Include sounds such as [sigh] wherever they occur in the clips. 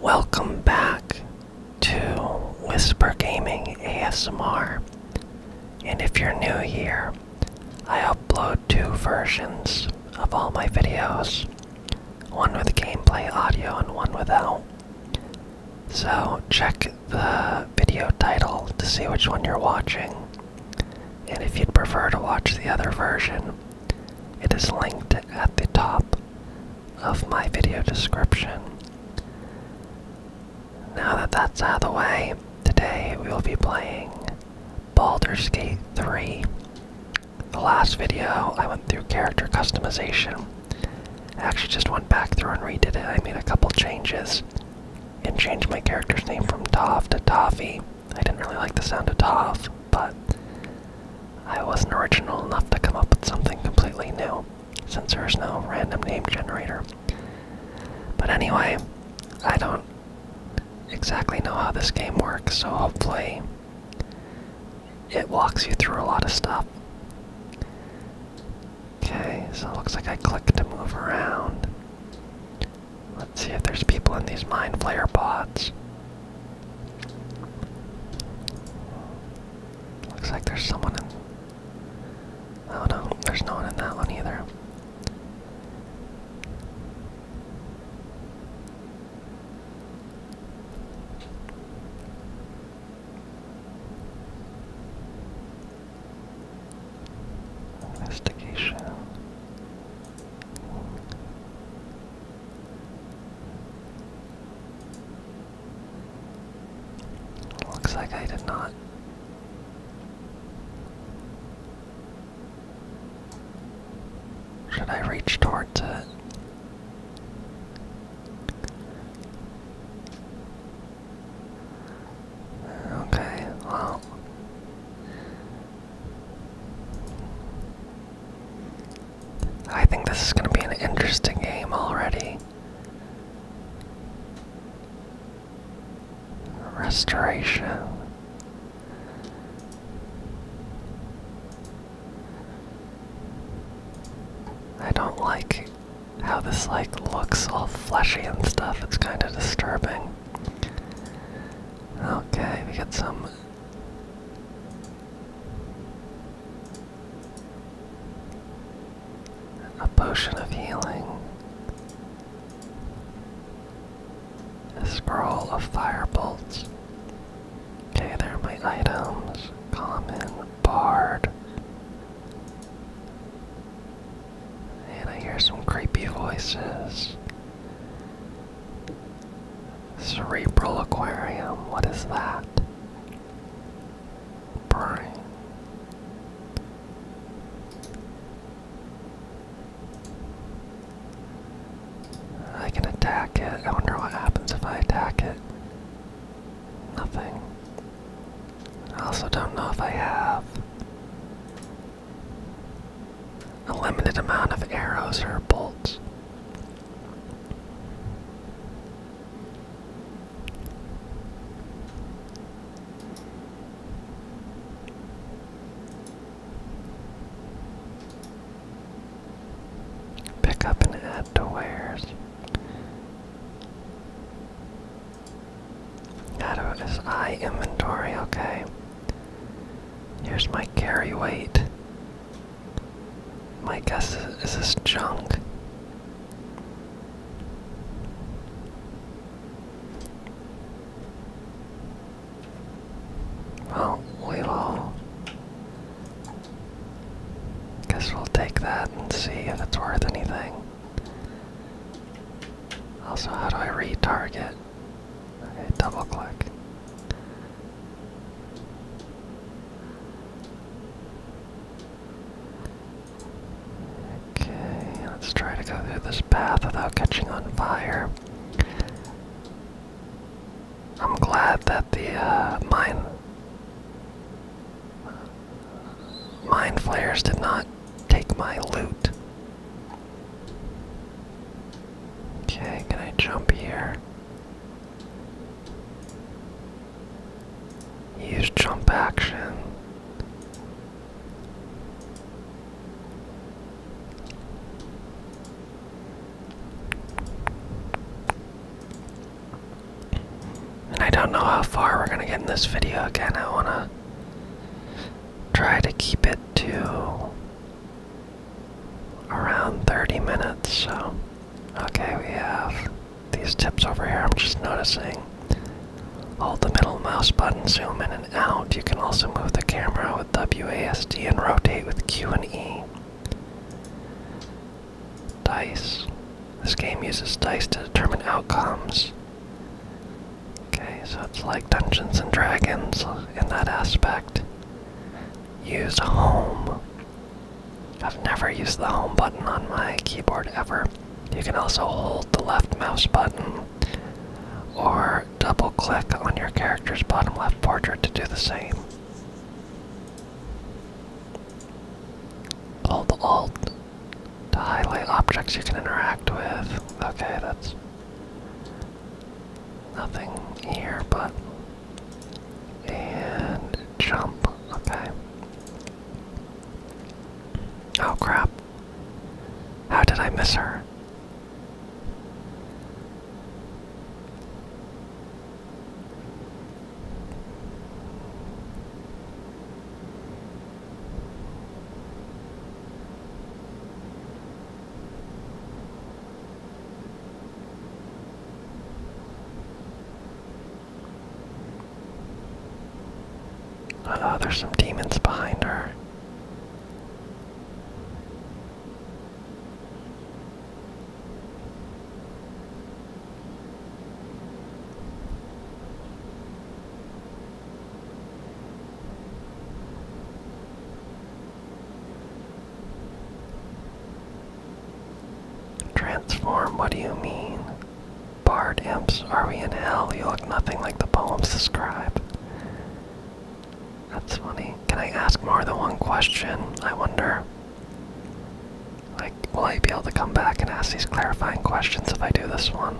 Welcome back to Whisper Gaming ASMR. And if you're new here, I upload two versions of all my videos one with gameplay audio and one without. So check the video title to see which one you're watching. And if you'd prefer to watch the other version, it is linked at the top of my video description. Now that that's out of the way, today we will be playing Baldur's Gate 3. The last video, I went through character customization. I actually just went back through and redid it. I made a couple changes and changed my character's name from Tav to Tavi. I didn't really like the sound of Toff, but I wasn't original enough to come up with something completely new, since there's no random name generator. But anyway, I don't exactly know how this game works, so hopefully it walks you through a lot of stuff. Okay, so it looks like I click to move around. Let's see if there's people in these mind flayer pods. Looks like there's someone in. Oh no, there's no one in that one either. Investigation. Looks like I did not. Should I reach towards it? Okay, well, I think this is going to be an interesting game already. Restoration. I don't like how this like looks all fleshy and stuff. It's kind of disturbing. Okay, we got some. A potion of healing. A scroll of fire bolts. Okay, they are my items. Common, bard. And I hear some creepy voices. Cerebral aquarium, what is that? Brain. I can attack it. I wonder what happens if I attack it. Nothing. I also don't know if I have a limited amount of arrows or bolts. Pick up and add to wares. How do I inventory? Okay. Here's my carry weight. My guess is, is this junk. Well, we'll guess we'll take that and see if it's worth anything. Also, how do I retarget? Okay, double click. Okay, let's try to go through this path without catching on fire. I'm glad that the uh, mine mine flares did not take my loot. Okay, can I jump here? Use jump action. And I don't know how far we're going to get in this video again. I want to try to keep it to around 30 minutes. So, okay, we have these tips over here. I'm just noticing. Hold the middle mouse button, zoom in and out. You can also move the camera with WASD and rotate with Q and E. Dice. This game uses dice to determine outcomes. Okay, so it's like Dungeons and Dragons in that aspect. Use home. I've never used the home button on my keyboard ever. You can also hold the left mouse button or double click on your character's bottom left portrait to do the same. Hold Alt to highlight objects you can interact with. Okay, that's Nothing here, but. And jump. Okay. Oh crap. How did I miss her? Uh, there's some demons behind her. Transform, what do you mean? Bard imps, are we in hell? You look nothing like the poems describe. That's funny. Can I ask more than one question? I wonder. Like, will I be able to come back and ask these clarifying questions if I do this one?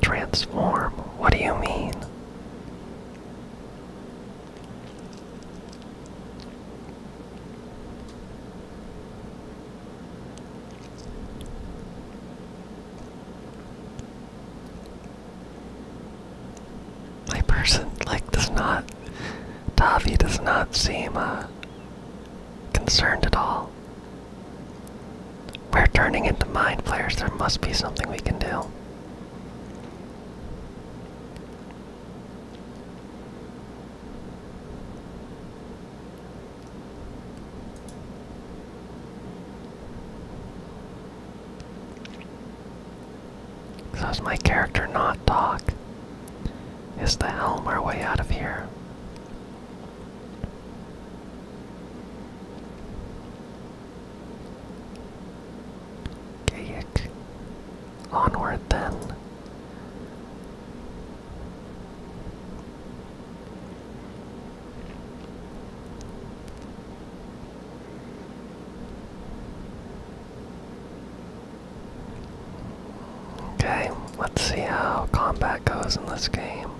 Transform? What do you mean? My person, like, does not. Tavi does not seem, uh, concerned at all. We're turning into mind flayers. There must be something we can do. So does my character not talk? Is the helm our way out of here? Gaiac. Onward then. Okay, let's see how combat goes in this game.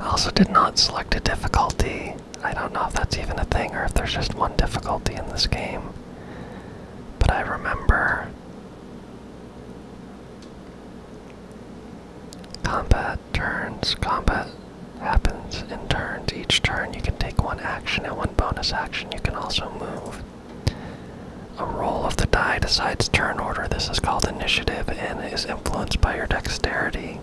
I also did not select a difficulty. I don't know if that's even a thing or if there's just one difficulty in this game. But I remember combat turns, combat happens in turns. Each turn you can take one action and one bonus action. You can also move. A roll of the die decides turn order. This is called initiative and is influenced by your dexterity.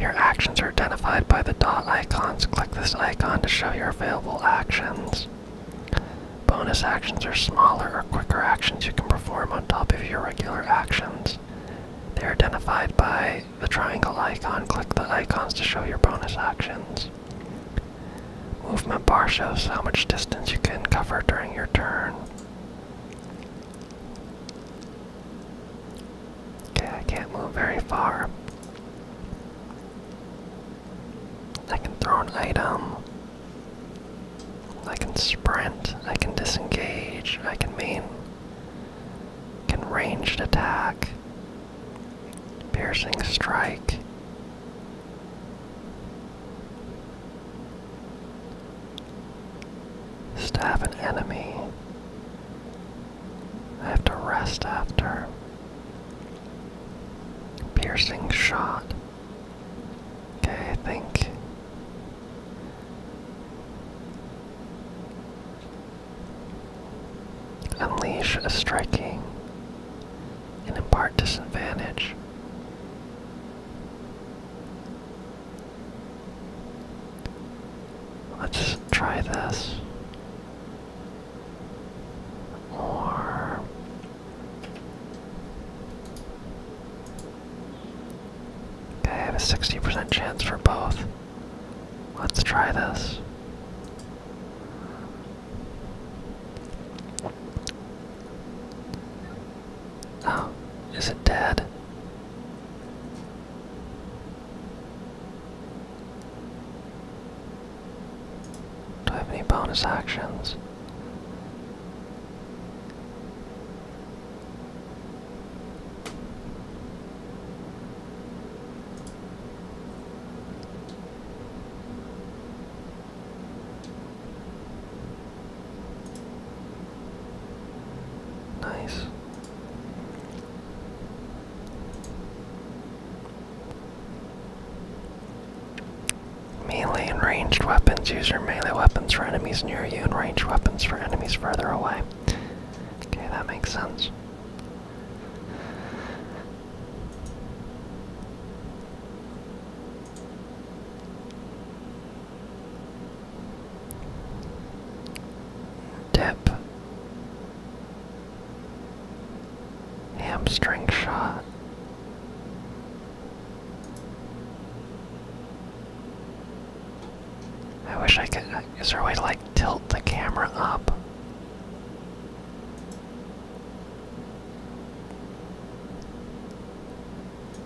Your actions are identified by the dot icons. Click this icon to show your available actions. Bonus actions are smaller or quicker actions you can perform on top of your regular actions. They are identified by the triangle icon, click the icons to show your bonus actions. Movement bar shows how much distance you can cover during your turn. Okay, I can't move very far. I can throw an item. I can sprint. I can disengage. I can main can ranged attack, piercing strike. Stab an enemy. I have to rest after. Piercing shot. Okay, I think. Unleash a striking and impart disadvantage. Let's try this. Or I have a 60% chance for both. Let's try this. Oh, is it dead? Do I have any bonus actions? Nice. Melee and ranged weapons. Use your melee weapons for enemies near you and ranged weapons for enemies further away. Okay, that makes sense. Dip. Hamstring shot. I wish I could. Is there a way to like tilt the camera up?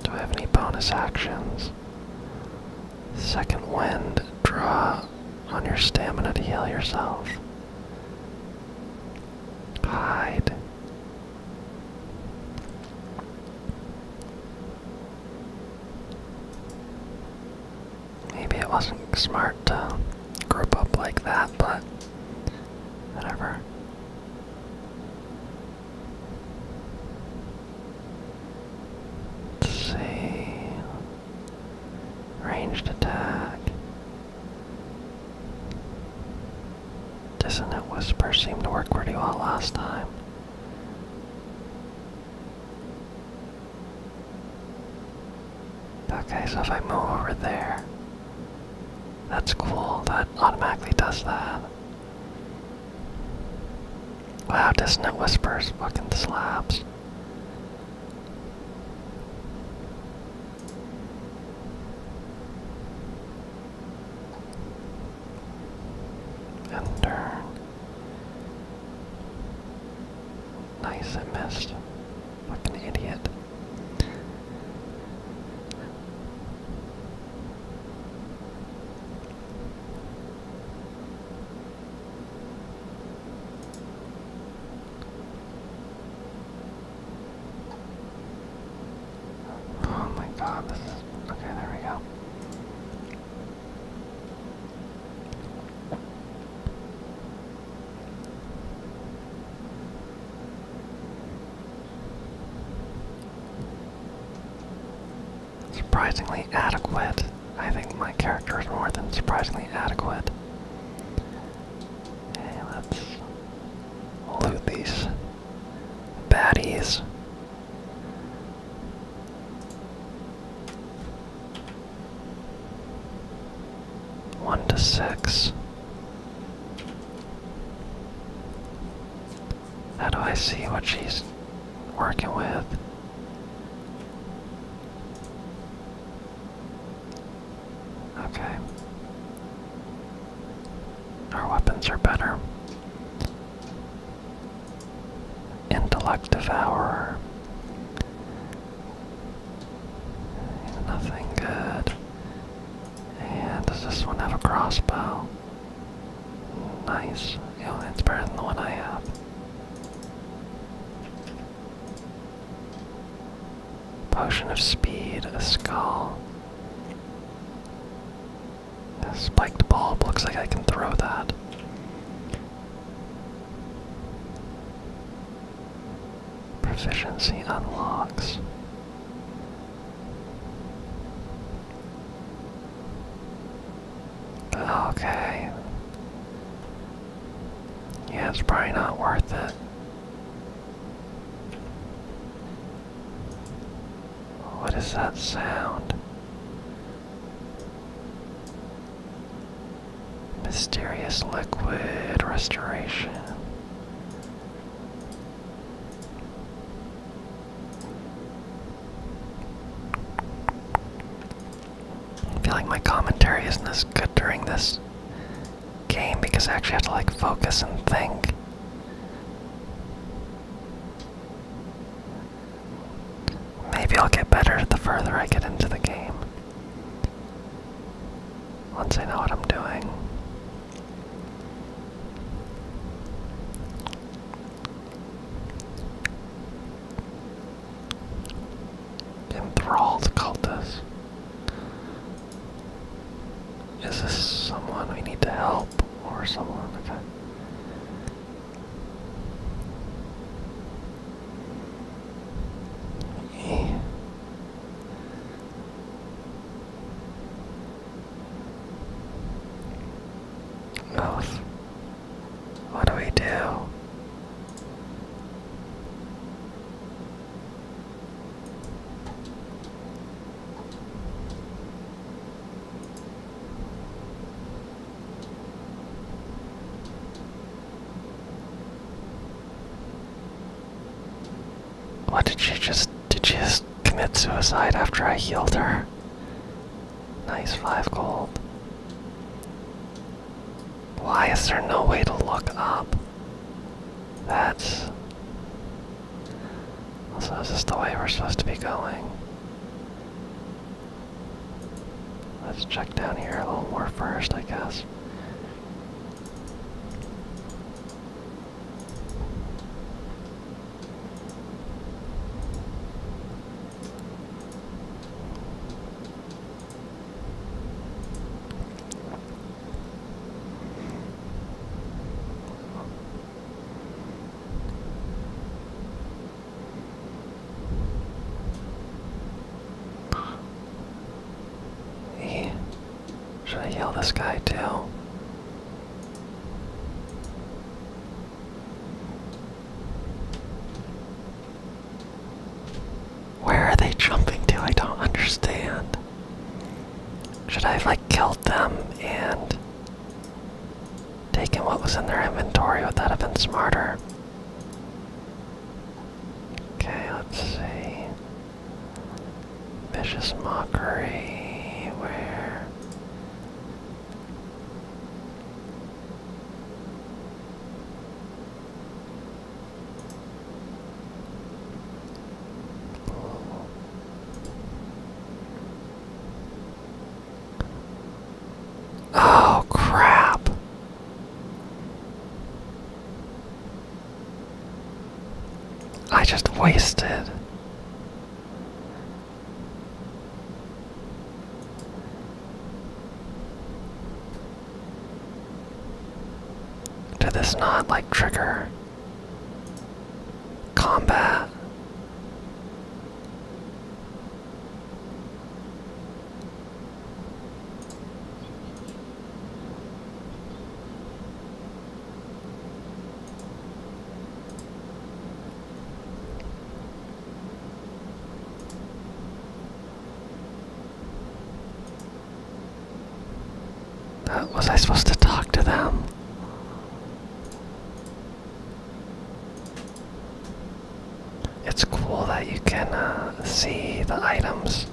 Do I have any bonus actions? Second wind, draw on your stamina to heal yourself. Hide. Maybe it wasn't smart to group up like that, but whatever. Let's see. Ranged attack. Dissonant Whisper seemed to work pretty well last time. Okay, so if I move over there, that's cool. That automatically does that. Wow, does Dissonant Whispers fucking slaps. And turn. Nice, I missed. Like an idiot. Oh my god, Okay, there we go. Surprisingly adequate. I think my character is more than surprisingly adequate. Okay, let's loot these baddies. One to six. How do I see what she's working with? Okay. Our weapons are better. Intellect Devourer. Nothing good. And does this one have a crossbow? Nice. Yeah, it's better than the one I have. Potion of Speed, a skull. A spiked bulb, looks like I can throw that. Proficiency unlocks. Okay. Yeah, probably not worth it. What is that sound? Mysterious liquid restoration. I feel like my commentary isn't as good during this game because I actually have to like focus and think. Maybe I'll get better the further I get into the game. Once I know what I'm doing. Enthralled cultist. Is this someone we need to help or someone? Okay. Yeah. What do we do? What did she just did she just commit suicide after I healed her? Nice five gold. Why is there no way to look up? That's also is this the way we're supposed to be going? Let's check down here a little more first, I guess. Yeah. Should I yell this guy to? Where are they jumping to? I don't understand. Should I have like killed them and taken what was in their inventory? Would that have been smarter? Okay, let's see. Vicious mockery. Where? Oh, crap. I just wasted. Did this not like trigger combat? That, was I supposed to talk to them? It's cool that you can uh, see the items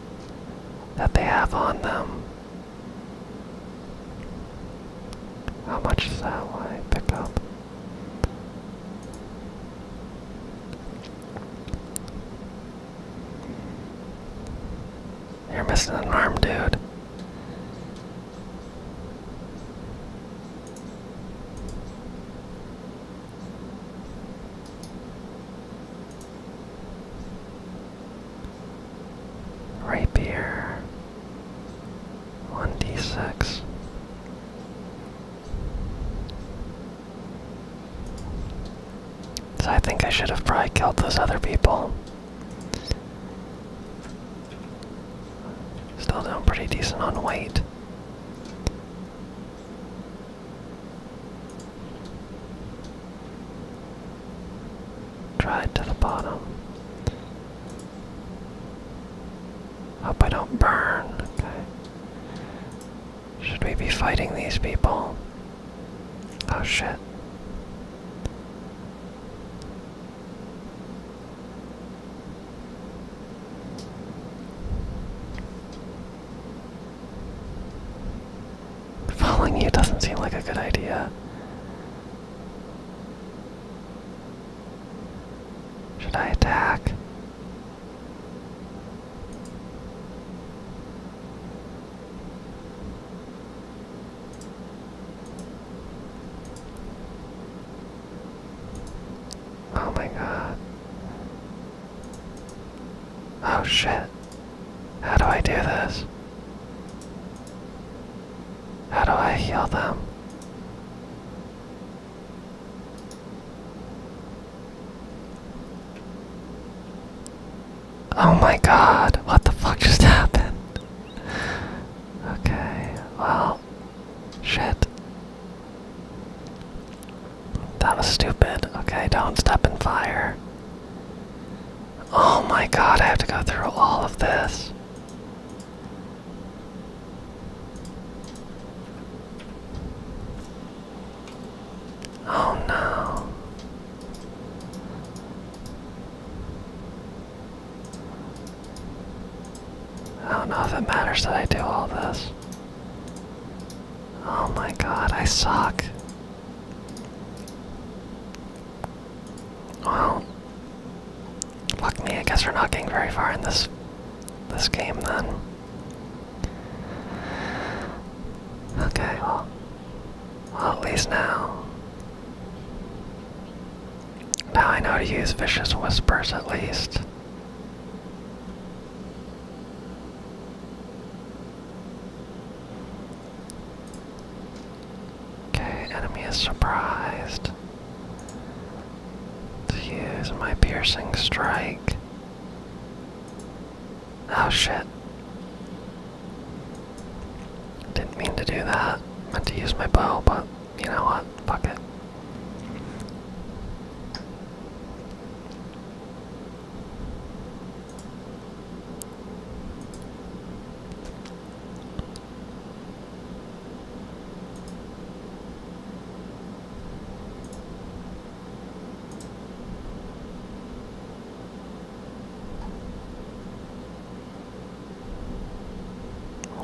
that they have on them. How much is that one I pick up? You're missing an arm, dude. Rapier, 1d6. So I think I should have probably killed those other people. Still doing pretty decent on weight. Try it to the bottom. Hope I don't burn. Okay. Should we be fighting these people? Oh shit. Following you doesn't seem like a good idea. Should I attack? Oh my god. Oh shit. How do I do this? How do I heal them? Oh my god, what the fuck just [laughs] happened? Okay, well, shit. That was stupid. Okay, don't step in fire. Oh my god, I have to go through all of this. Oh no. I don't know if it matters that I do all this. Oh my god, I suck. Well, fuck me, I guess we're not getting very far in this this game then. Okay, well, well at least now. Now I know to use vicious whispers at least. Okay, enemy is surprised. To use my piercing strike. Oh shit. Didn't mean to do that. Meant to use my bow, but you know what? Fuck it.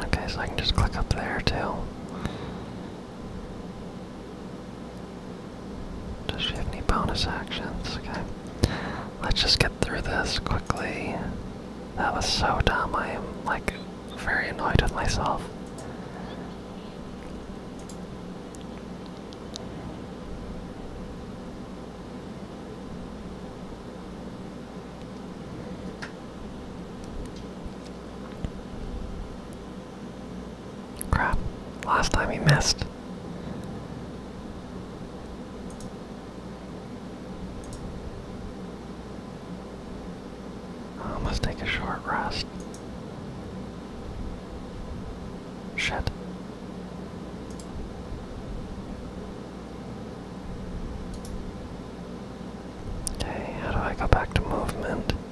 Okay, so I can just click up there too. Does she have any bonus actions? Okay. Let's just get through this quickly. That was so dumb. I am, like, very annoyed with myself. Crap. Last time he missed. I oh, must take a short rest. Shit. Okay, how do I go back to movement?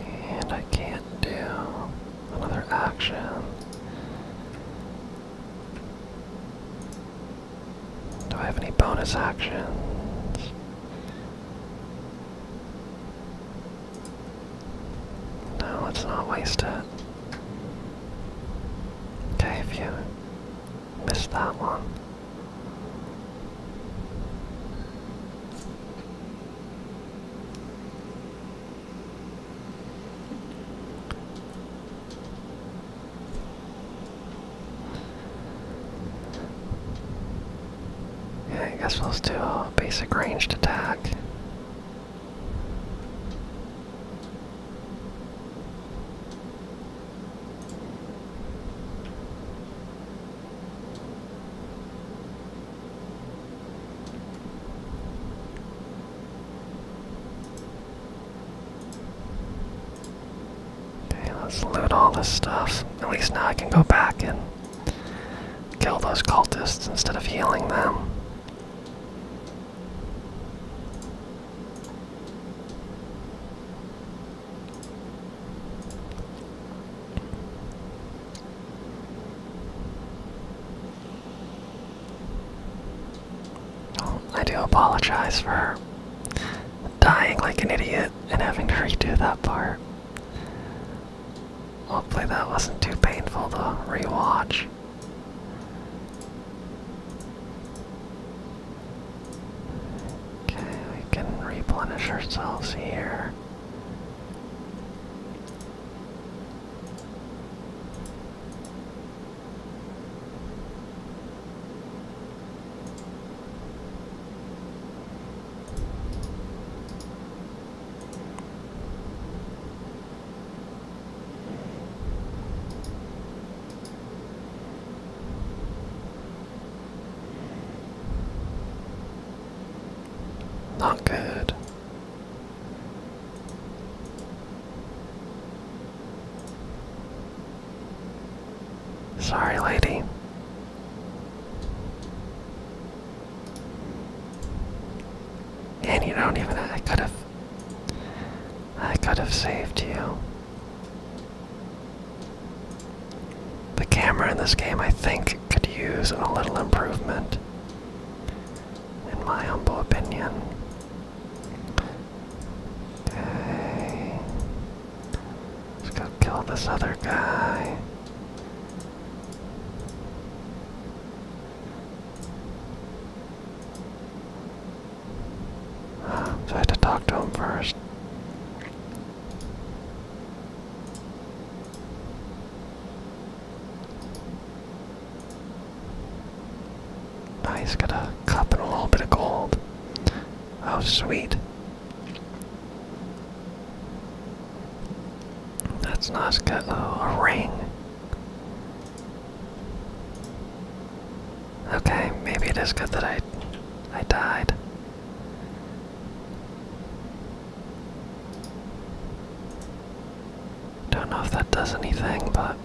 And I can't do another action. Do I have any bonus actions? No, let's not waste it. Okay, Miss that one. Yeah, I guess let's do a basic ranged attack. Okay, let's loot all this stuff. At least now I can go back and kill those cultists instead of healing them. I do apologize for dying like an idiot and having to redo that part. Hopefully that wasn't too painful to rewatch. Okay, we can replenish ourselves here. Not good. Sorry, lady. And you don't even I could have I could have saved you. The camera in this game, I think, could use a little improvement, in my humble opinion. Okay. Let's go kill this other guy. So I had to talk to him first. Now got a cup and a little bit of gold. Oh, sweet. That's nice. oh, a ring. Okay, maybe it is good that I I died. Don't know if that does anything, but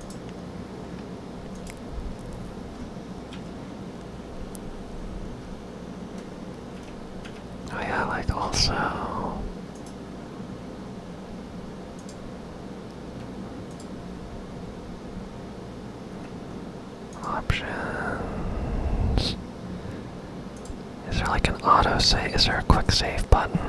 Oh yeah, like also Options. Is there like an auto save? Is there a quick save button?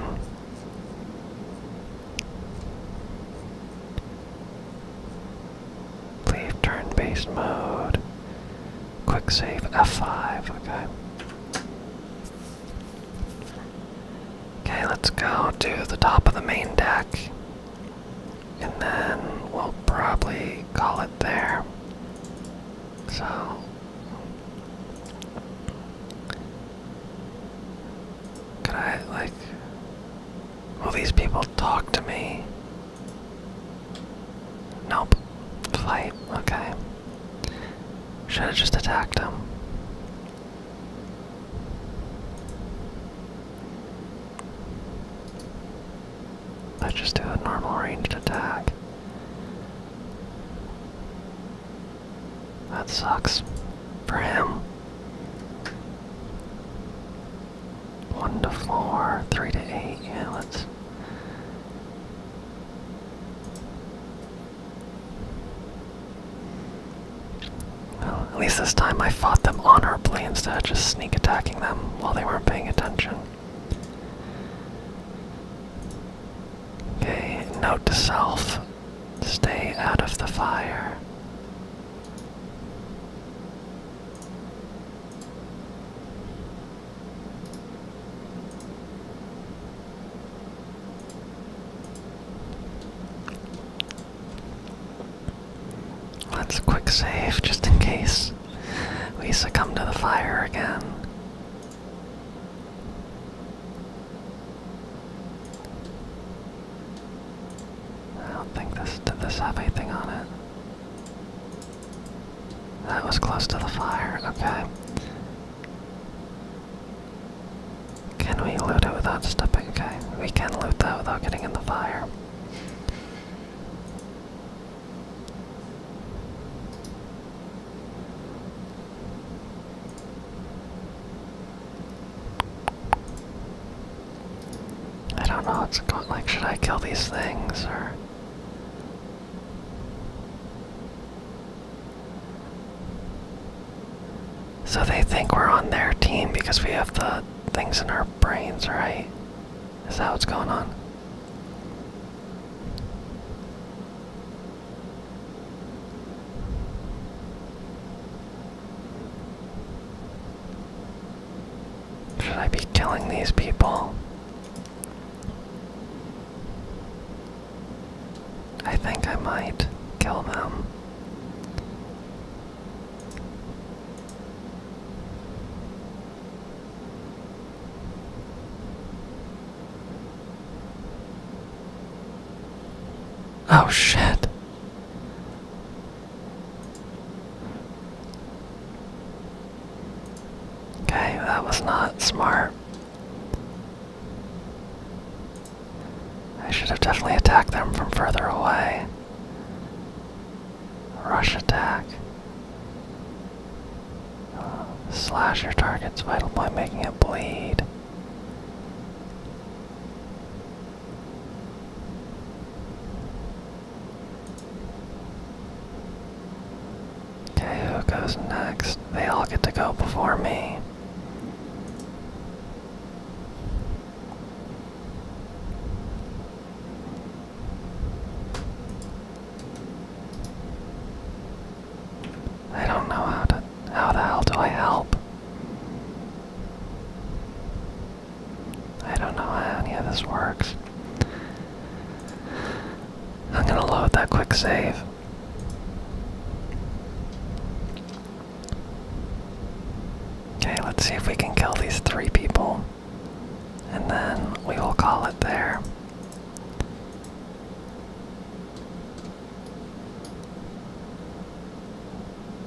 Leave turn based mode. Quick save F5. Okay. Okay, let's go to the top of the main deck. And then we'll probably call it there. So. Could I, like. Will these people talk to me? Nope. Fight. Okay. Should have just attacked him. Let's just do a normal ranged attack. That sucks for him. One to four, three to eight, yeah, let's well, at least this time I fought them honorably instead of just sneak attacking them while they weren't paying attention. Okay, note to self stay out of the fire. Let's quick save just in case we succumb to the fire again. I don't think this did this have anything on it. That was close to the fire, okay. Can we loot it without stepping? Okay, we can loot that without getting in the fire. I don't know what's like should I kill these things or So they think we're on their team because we have the things in our brains, right? Is that what's going on? Should I be killing these people? I think I might kill them. Oh shit. Okay, that was not smart. I should have definitely attacked them from further away. Rush attack. Uh, slash your target's vital by making it bleed. Okay, who goes next? They all get to go before me. I don't know how to how the hell do I help? I don't know how any of this works. I'm gonna load that quick save. Okay, let's see if we can kill these three people and then we will call it there.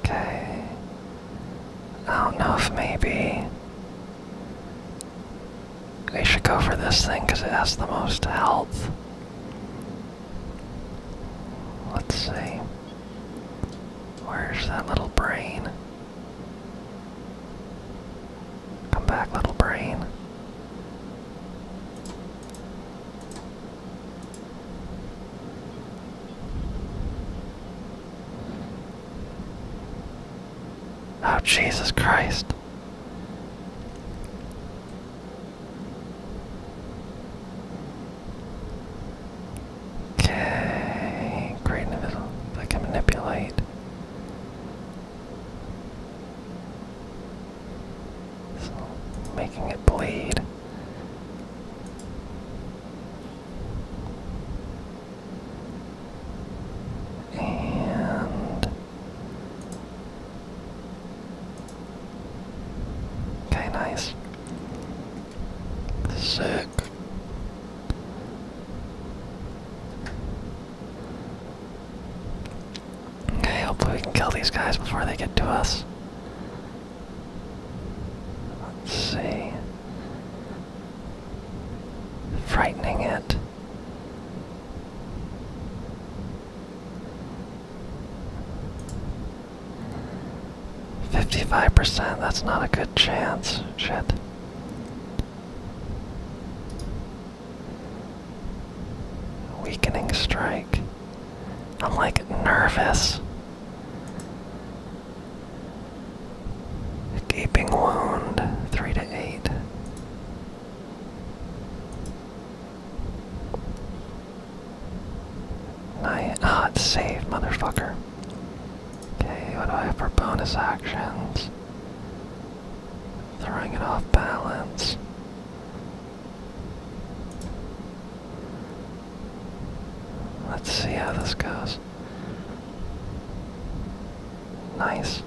Okay. I don't know if maybe we should go for this thing because it has the most health. Let's see. Where's that little brain? Come back, little brain. Oh, Jesus Christ. Okay, great invisible. I can manipulate. So, making it bleed. And okay, nice. Sick. Okay, hopefully we can kill these guys before they get to us. Let's see. Frightening it. 55%, that's not a good chance. Shit. Weakening strike. I'm like nervous. Gaping wound, 3 to 8. Nine. Ah, it's saved, motherfucker. Okay, what do I have for bonus actions? Throwing it off balance. Let's see how this goes. Nice.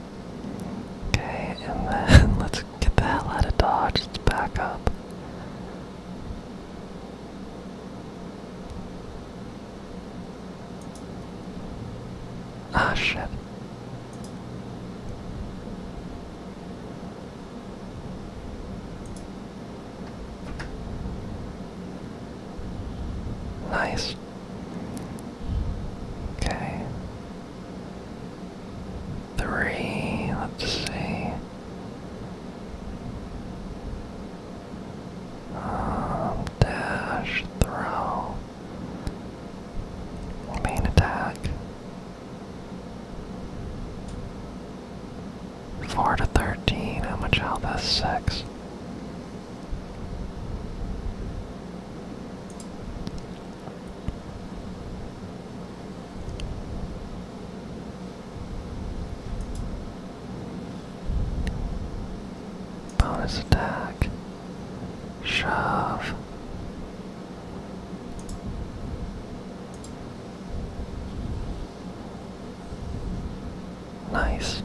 Okay, and then [laughs] let's get the hell out of Dodge. Let's back up. Ah, shit. Nice. Okay. Three, let's see. Um, dash, throw, main attack. Four to thirteen. How much health has six? Bonus attack. Shove. Nice.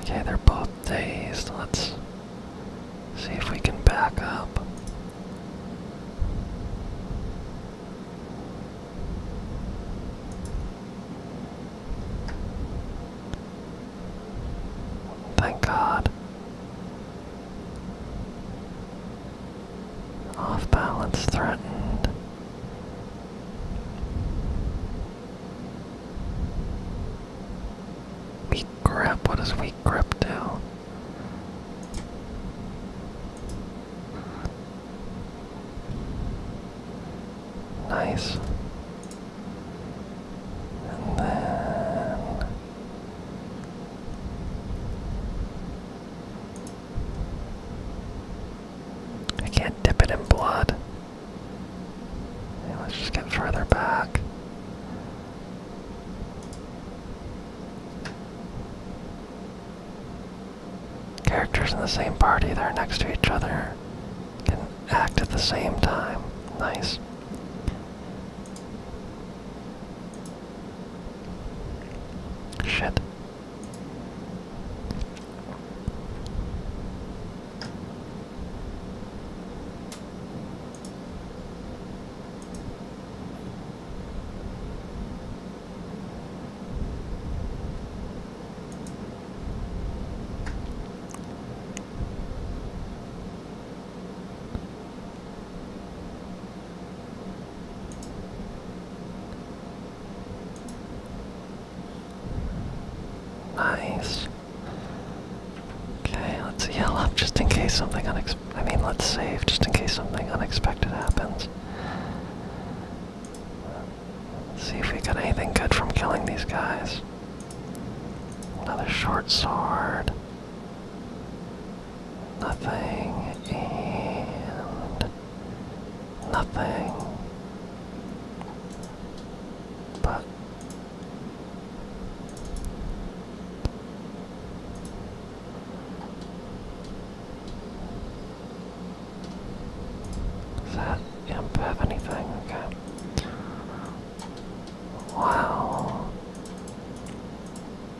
Okay, they're both dazed. Let's see if we can back up. Thank God. Off balance threatened. Weak grip, what does weak grip do? Nice. And then I can't dip it in blood. let's just get further back. Characters in the same party that are next to each other can act at the same time. Nice. Shit. Nice. Okay, let's yell up just in case something unex. I mean, let's save just in case something unexpected happens. See if we got anything good from killing these guys. Another short sword. Nothing and nothing. But does that imp have anything? Okay. Wow.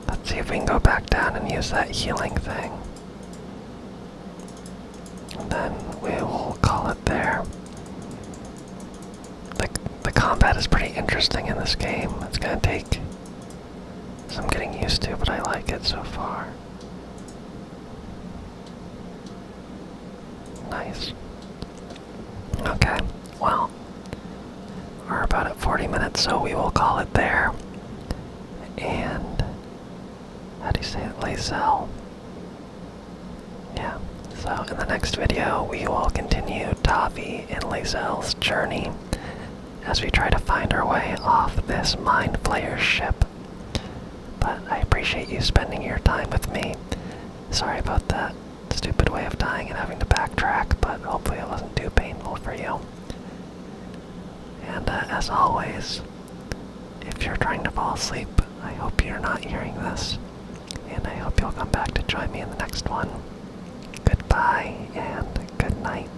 Let's see if we can go back down and use that healing thing. then we will call it there. The, the combat is pretty interesting in this game. It's gonna take some getting used to, but I like it so far. Nice. Okay, well, we're about at 40 minutes, so we will call it there. And, how do you say it? Lazelle. Yeah, so in the next video, we will continue Tavi and Lazelle's journey as we try to find our way off this Mind Flayer ship. But I appreciate you spending your time with me. Sorry about that stupid way of dying and having to backtrack, but hopefully it wasn't too painful for you. And uh, as always, if you're trying to fall asleep, I hope you're not hearing this. And I hope you'll come back to join me in the next one. Goodbye and good night.